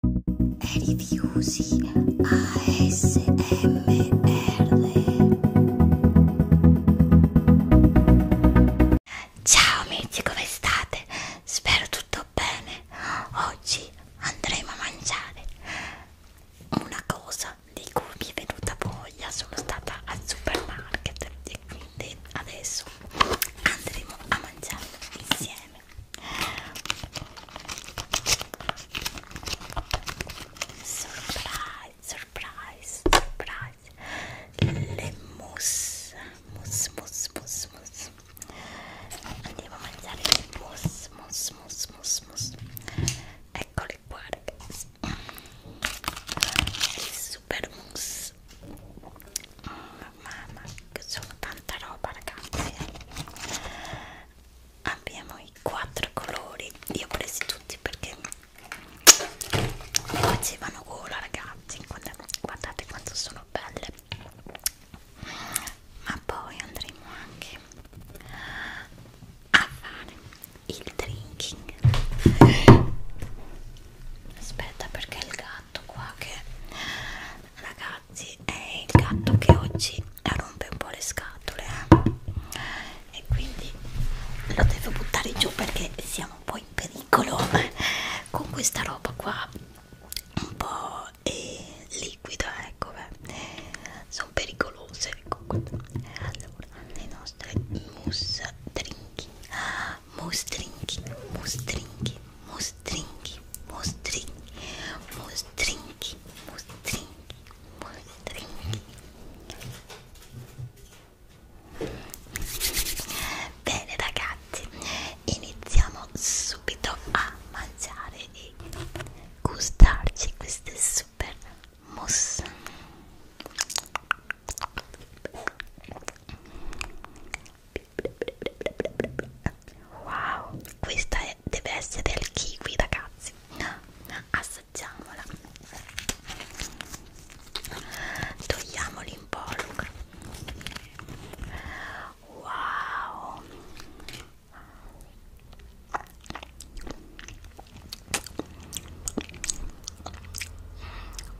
Rifiusi ASMR Ciao amici, come state? Spero tutto bene. Oggi andremo a mangiare una cosa di cui mi è venuta voglia. Sono stata al supermarket e quindi adesso andremo a mangiare insieme insieme surprise surprise surprise le mousse mousse mousse mousse mousse andiamo a mangiare le mousse mousse mousse mousse mousse eccole qua ragazzi il super mousse mm mamma sono tanta roba ragazzi eh. abbiamo i quattro colori li ho presi tutti perché facevano gola ragazzi guardate quanto sono belle ma poi andremo anche a fare il drinking aspetta perché il gatto qua che ragazzi è il gatto che oggi rompe un po' le scatole eh? e quindi lo devo buttare giù perché siamo un po' in pericolo con questa roba qua un po' eh, liquida ecco beh. sono pericolose ecco. allora le nostre mousse drinking mostrinchi, mostrinchi, mostrinchi, mostrinchi, mostrinchi, mostrinchi, mostrinchi. Bene ragazzi, iniziamo subito a mangiare e gustarci queste super mousse. Wow, questa è, deve essere del kiwi, ragazzi. Assaggiamola. Togliamo l'involucro. Wow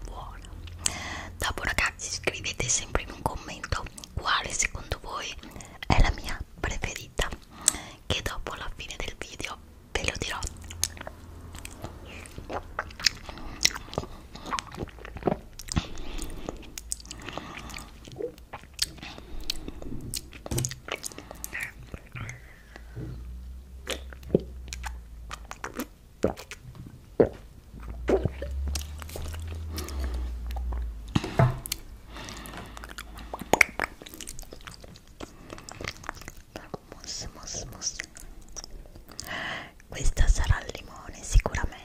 buona dopo ragazzi scrivete sempre in un commento quale secondo voi è la mia preferita che dopo alla fine del video ve lo dirò Mousse, mousse, mousse. Questa sarà al limone sicuramente.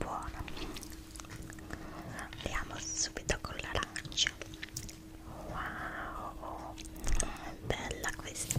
buona andiamo subito con l'arancia wow bella questa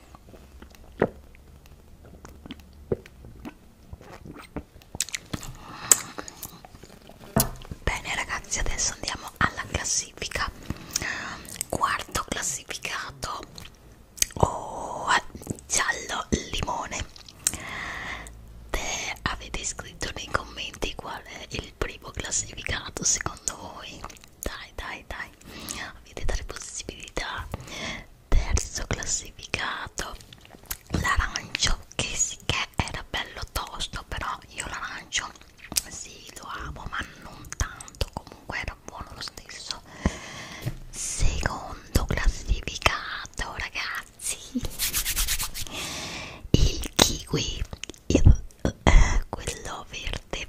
Bene ragazzi, adesso andiamo alla classifica. Quarto classificato oh, giallo limone. Te avete scritto nei commenti qual è il primo classificato secondo voi? Dai, dai, dai. Avete tre possibilità terzo classificato l'arancio che sì che era bello tosto però io l'arancio sì lo amo ma non tanto comunque era buono lo stesso secondo classificato ragazzi il kiwi il, eh, quello verde parte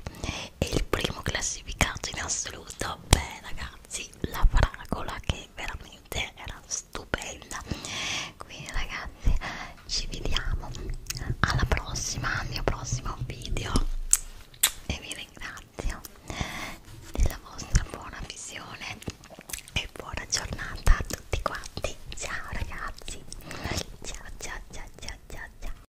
e il primo classificato in assoluto beh ragazzi la fragola che veramente era stupenda quindi ragazzi ci vediamo alla prossima al mio prossimo video e vi ringrazio della vostra buona visione e buona giornata a tutti quanti ciao ragazzi ciao ciao ciao ciao ciao ciao